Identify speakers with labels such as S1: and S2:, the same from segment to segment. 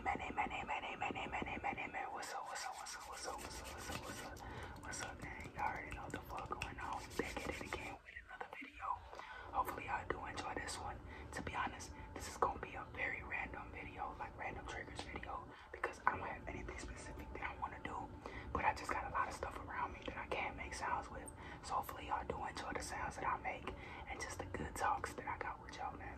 S1: Many, many, many, many, many, many, many. What's up? What's up? What's up? What's up? What's up? What's up? What's up? What's up, man? Y'all already know the fuck going on. back at it again with another video. Hopefully, y'all do enjoy this one. To be honest, this is gonna be a very random video, like random triggers video, because I don't have anything specific that I want to do. But I just got a lot of stuff around me that I can't make sounds with. So hopefully, y'all do enjoy the sounds that I make and just the good talks that I got with y'all, man.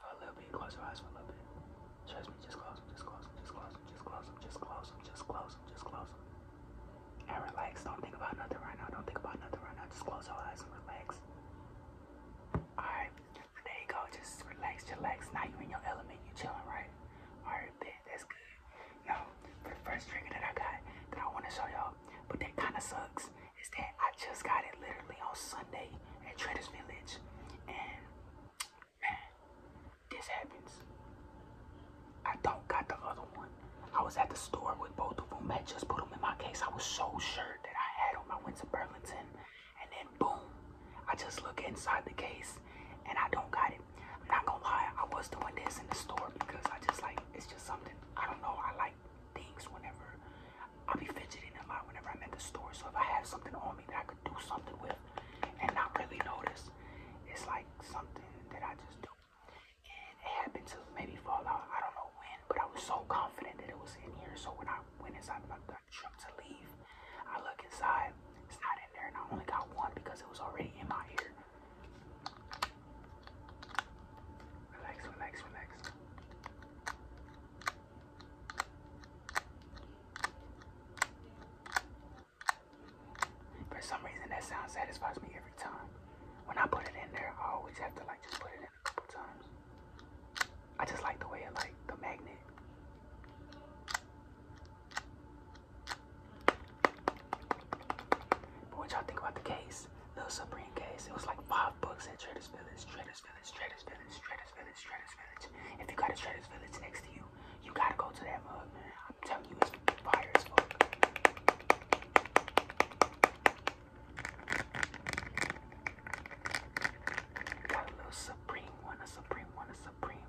S1: For a little bit, close your eyes for a little bit. Trust me, just close them, just close them, just close them, just close them, just close them, just close them, just close them. And relax. Don't think about nothing right now. Don't think about nothing right now. Just close your eyes and relax. Alright, there you go. Just relax, relax. Now you in your element. You chilling, right? Alright, that's good. Now, for the first trigger that I got that I want to show y'all, but that kind of sucks is that I just got it literally on Sunday at Traders Village. And man, this happens. I don't got the other one. I was at the store with both of them. I just put them in my case. I was so sure that I had them. I went to Burlington and then boom, I just look inside the case and I don't got it. I'm not gonna lie, I was doing this in the store because I just like, it's just something, I don't know, I like things whenever I'll be fidgeting a lot whenever I'm at the store. So if I have something on me that I could do something with and not really notice, it's like something that I just do. And it happened to maybe fall out. I don't know when, but I was so confident that it was in here. So when I went inside my truck to leave, I look inside. It's not in there, and I only got one because it was already in my ear. Relax, relax, relax. For some reason, that sound satisfies me every time. When I put it in there, I always have to like just put it in a couple times. I just like the way like the magnet. But what y'all think about the case? Little Supreme case. It was like five bucks at Trader's Village. Trader's Village. Village, Traders Village, Traders Village, Traders Village. If you got a Traders Village next to you, you gotta go to that mug, I'm telling you, it's fire Got a little Supreme one, a Supreme one, a Supreme.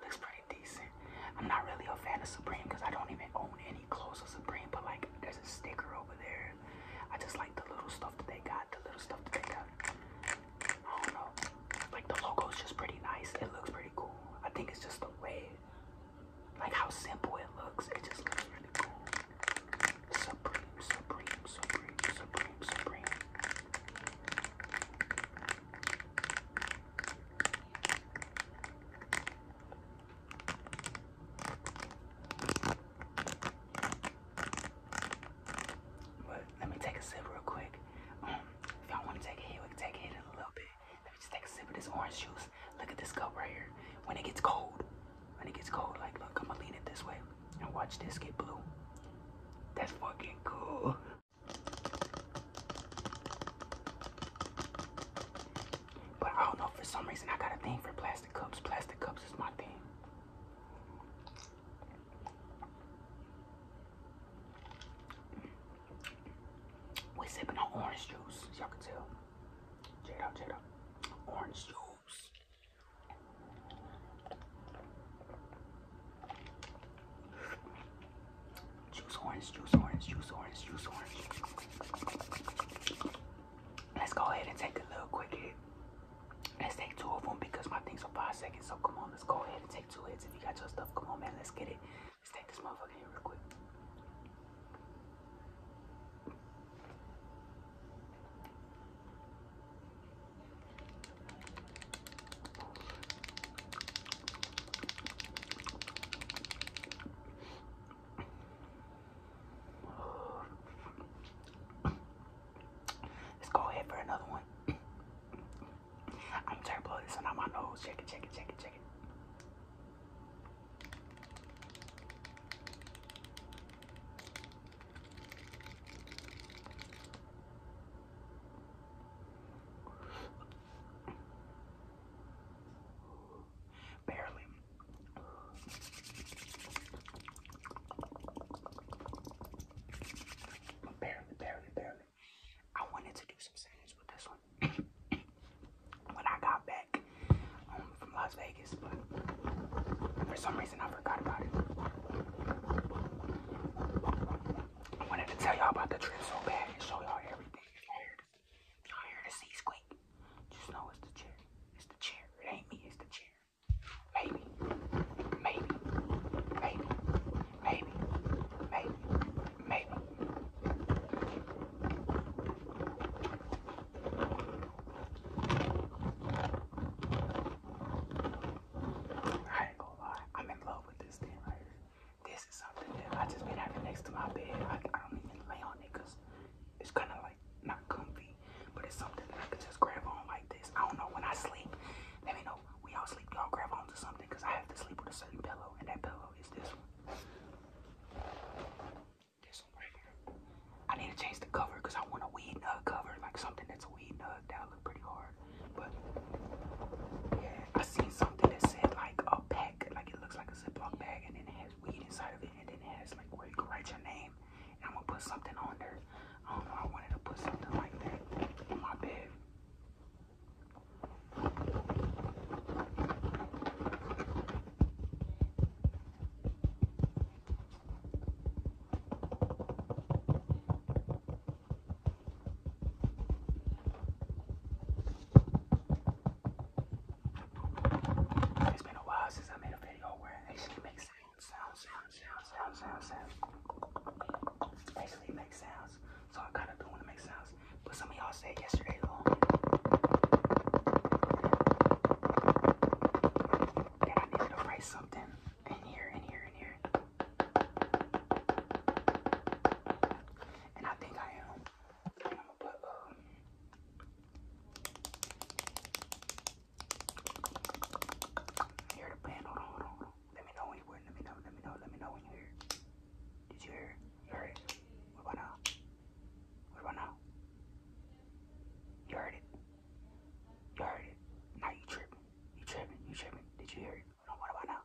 S1: Looks pretty decent. I'm not really a fan of Supreme because I don't even own any clothes of Supreme, but like there's a sticker over there I just like the little stuff that they got, the little stuff that they got. I don't know. Like the logo is just pretty nice. It looks pretty cool. I think it's just the way, like how simple it looks. It just looks really cool. Supreme, supreme, supreme, supreme, supreme. But let me take a sip real quick. Um, if y'all want to take a hit, we can take a hit in a little bit. Let me just take a sip of this orange juice. Look at this cup right here. When it gets cold, when it gets cold, like look, I'm gonna lean it this way and watch this get blue. That's fucking cool. But I don't know, for some reason I got a thing for plastic plastic cups. Plastic cups is my thing. We sipping on orange juice, y'all can tell. Check it out, check it out. Orange juice. Juice, orange juice, orange juice, orange juice, orange. Let's go ahead and take a little quick hit. Let's take two of them because my things are five seconds. So come on, let's go ahead and take two hits. If you got your stuff, come on, man, let's get it. Let's take this motherfucker here real quick. Let's go ahead for another one. I'm trying to blow this one out my nose. Check it, check it, check it, check it barely. barely, barely, barely. I wanted to do some sandwich with this one when I got back um, from Las Vegas, but for some reason I forgot about it. I wanted to tell y'all about the trip so bad and show y'all everything y'all hear the sea squeak, just know it's the chair. It's the chair. It ain't me, it's the chair. Maybe. Maybe. Maybe. Maybe. Maybe. Maybe. I ain't gonna lie. I'm in love with this thing right here. This is something that I just been having next to my bed. I, don't even lay on it it's kind of like like not comfy, but it's something that I can just grab on like this. I don't know when I sleep. Let me know. We all sleep. Y'all grab on to something because I have to sleep with a certain pillow, and that pillow is this one. This one right here. I need to change the cover because I want a weed nug cover, like something that's a weed nug. That would look pretty hard. But yeah, I seen something that said like a pack, like it looks like a Ziploc bag, and then has weed inside of it, and then it has like where you can write your name. And I'm gonna put something on there. I don't know. I wanted to put something like that in my bed. It's been a while since I made a video where I actually make sounds, sounds, sounds, sounds, sounds, sounds, Actually make sounds. So I kind of do want to make sounds. But some of y'all said yesterday, um, though, I needed to write something in here, in here, in here. And I think I am. But, um, hear Hold on, hold on, Let me know when you were. Let me know. Let me know. Let me know when you hear. Did you hear? heard it. What about now? What about now? You heard it. You heard it. Now you tripping. You tripping. You tripping. Did you hear it? What about now?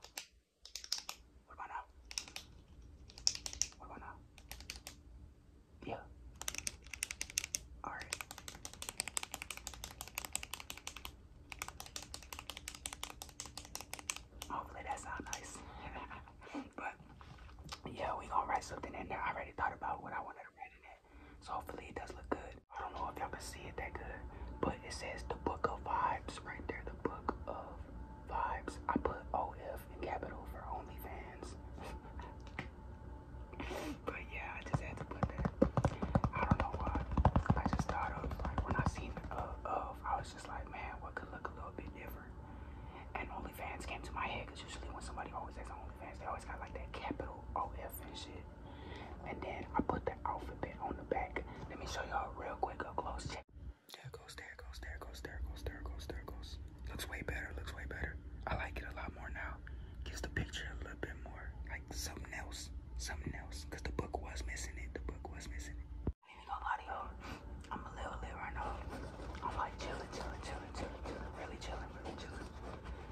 S1: What about Yeah. Alright. Hopefully that sounds nice. but yeah, we gonna write something in there. I already thought about what I wanted to write in it. So hopefully it does look good. I don't know if y'all can see it that good, but it says the book of vibes right there. The book of vibes. I put OF in capital for OnlyFans. but yeah, I just had to put that. I don't know why. I just thought of like when I seen uh, of, was just like, man, what could look a little bit different? And OnlyFans came to my head because usually when somebody always has OnlyFans, they always got like that capital OF and shit. And then I put the alphabet on the back. Let me show y'all real quick A close. Check. There it goes, there it goes, there it goes, there it goes, there it goes, there it goes. Looks way better, looks way better. I like it a lot more now. Gives the picture a little bit more, like something else, something else. Cause the book was missing it, the book was missing it. I ain't gonna lie to y'all, I'm a little lit right now. I'm like chilling, chilling, chilling, chilling, chilling, really chilling, really chilling.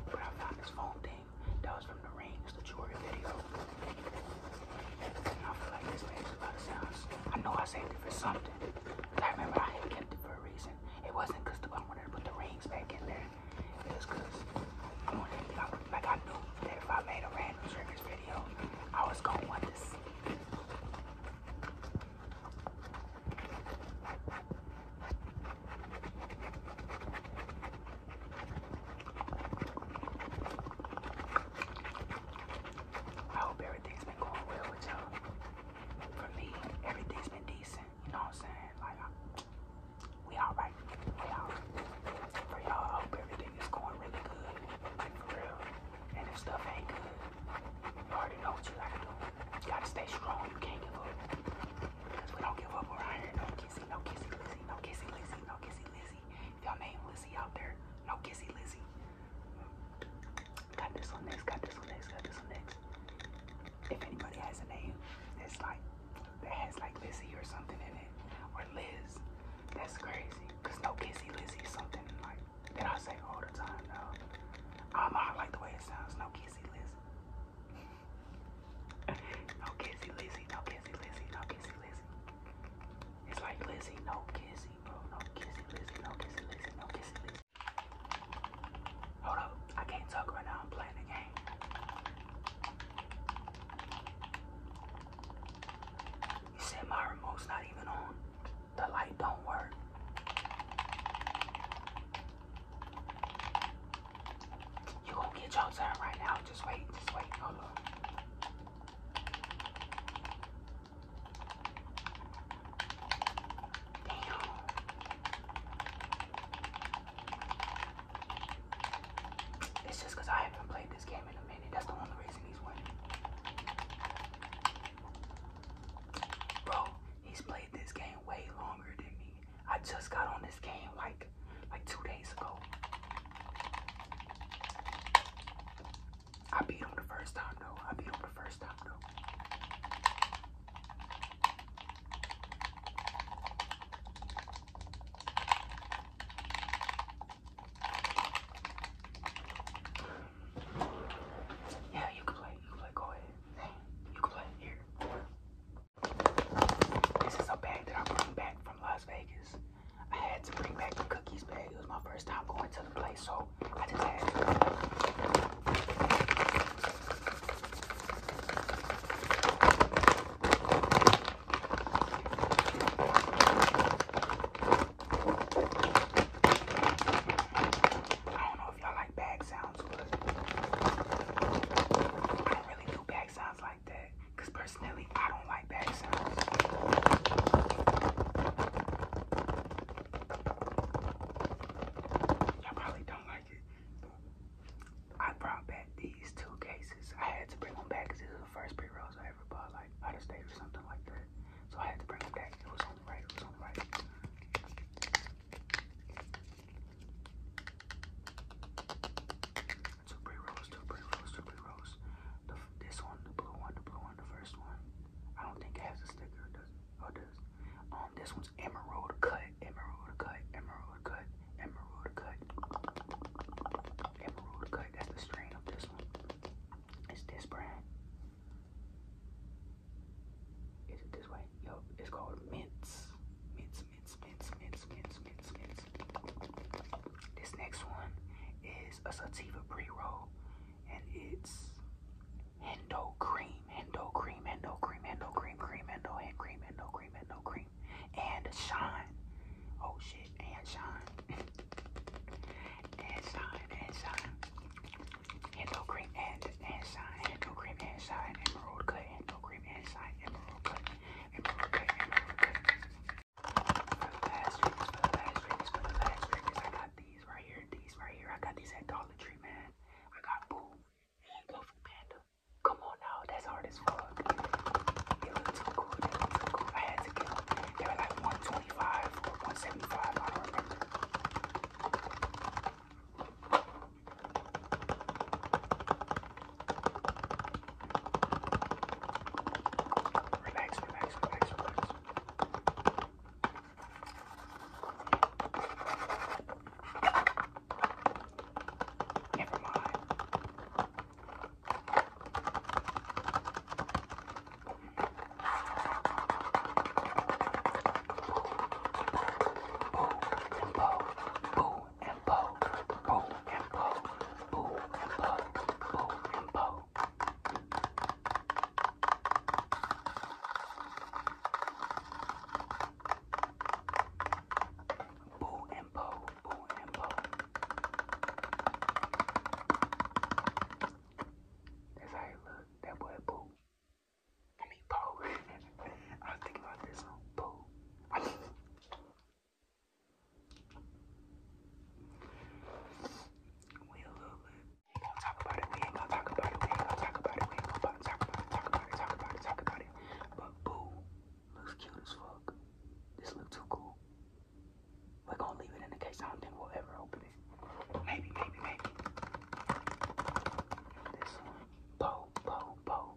S1: But I found this phone thing that was from the Rings, the jewelry video. I know I saved it for something. I remember I had kept it for a reason. It wasn't because I wanted to put the rings back in there. It was because I wanted to, I, like I knew that if I made a random triggers video, I was going to want this. I hope everything's been going well with y'all. For me, everything's been decent. You know what I'm saying? Like, I, we all right. We all right. For y'all, I hope everything is going really good. Like, for real. And if stuff ain't good, you already know what you gotta do. You gotta stay strong. You can't give up. Because we don't give up around here. No kissy, no kissy, Lizzie. No kissy, Lizzie. No kissy, Lizzie. If y'all name Lizzie out there, no kissy, Lizzie. Got this one next, got this one next, got this one next. If anybody has a name that's like, that has like Lizzie or something in it, or Liz, that's crazy. Cause no Kissy Lizzie something like that I say all the time though. Um, I like the way it sounds, no Kissy Lizzie. no Kissy Lizzie, no Kissy Lizzie, no Kissy Lizzie. It's like Lizzie, no kiss, Hold up. I can't talk right now. I'm playing the game. You said my remote's not even on. The light don't work. You gonna get your turn right now. Just wait. Just wait. Hold on. Damn. It's just because I haven't played this game in a minute. That's the only reason he's winning. Bro, he's played this game way longer than me. I just got on this game like like two days ago. I beat him the first time though. I beat him the first time though. Yeah, you can play. You can play. Go ahead. you can play here. This is a bag that I bring back from Las Vegas. I had to bring back the cookies bag. It was my first time going to the place, so I just had to. I don't know if y'all like bag sounds, but I don't really do bag sounds like because personally I don't like bag sounds. Y'all probably don't like it. I brought back these two cases. I had to bring them back because these are the first pre rolls I ever bought, like out of state or something like that. So I had to bring them back. It was only right. It was only right. Two pre rolls, two pre rolls, two pre rolls. The, this one, the blue one, the blue one, the first one. I don't think it has a sticker, does it? Oh, does. Um, this one's emerald cut, emerald cut, emerald cut, emerald cut, emerald cut. That's the strain of this one. It's this brand. Is it this way? Yo, it's called mints. Mints, mints, mints, mints, mints, mints, mints kids. This next one is a sativa pre-roll and it's Hendo cream, Hendo cream, Hendo cream, Hendo cream, cream, Hendo hand cream, Hendo cream, Hendo cream, and shine. Oh shit, and shine. and shine, and shine. Hendo cream and and shine, Hendo cream and shine, emerald cut, Hendo cream and shine, emerald cut, emerald cut, emerald cut. I got these right here, these right here. I got these at Dollar Tree, man. I got Boom and Go Food Panda. Come on now, that's hard as fuck. They look too cool, they look too cool. I had to get them. They were like 125 or 175, I don't remember. Relax, relax, relax, relax. Never mind. Boo, boo, boo, boo and poke, boo and poke, boo and poke, boo and poke. Boo and poke, boo and poke. That's how you look, that boy boo. I mean, Poe. I was thinking about this one. Poe. I mean, we ain't gonna talk about it. We ain't gonna talk about it. We ain't gonna talk about it. We ain't gonna talk about it. Talk about it. Talk about it. Talk about it. But boo, looks cute as fuck. This look too cool. We're gonna leave it in the case. I don't think we'll ever open it. Maybe, maybe, maybe. This one. Bo, bo, bo,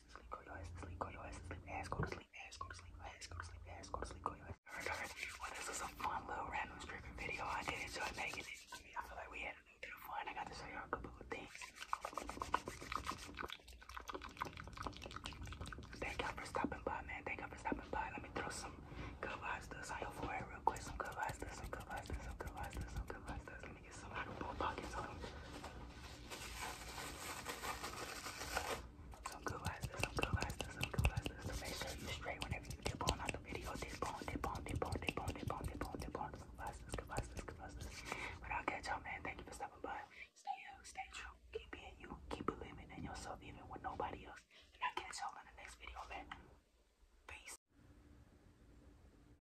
S1: ass to sleep, go your ass to sleep, go your ass to sleep, ass go to sleep, ass go to sleep, ass go to sleep, ass go to sleep, go your ass. Alright, alright, well this was a fun little random scripting video. I did enjoy making it. I mean, I feel like we had a new bit of fun. I got to show y'all a couple of things. Thank y'all for stopping by, man. Thank y'all for stopping by. Let me throw some good vibes dust on your forehead real quick. Some good vibes dust, some good vibes dust, some good vibes dust, some good vibes dust. Let me to get some. I can pull pockets on them. good lights, some good lights, some good lights. make sure you straight whenever you dip on on the video. Dip on, dip on, dip on, dip on, dip on, dip on, dip on. Good lights, good lights, good lights. But I'll catch y'all, man. Thank you for stopping by. Stay up, stay true. Keep being you. Keep believing in yourself, even when nobody else. And I'll catch y'all in the next video, man. Peace.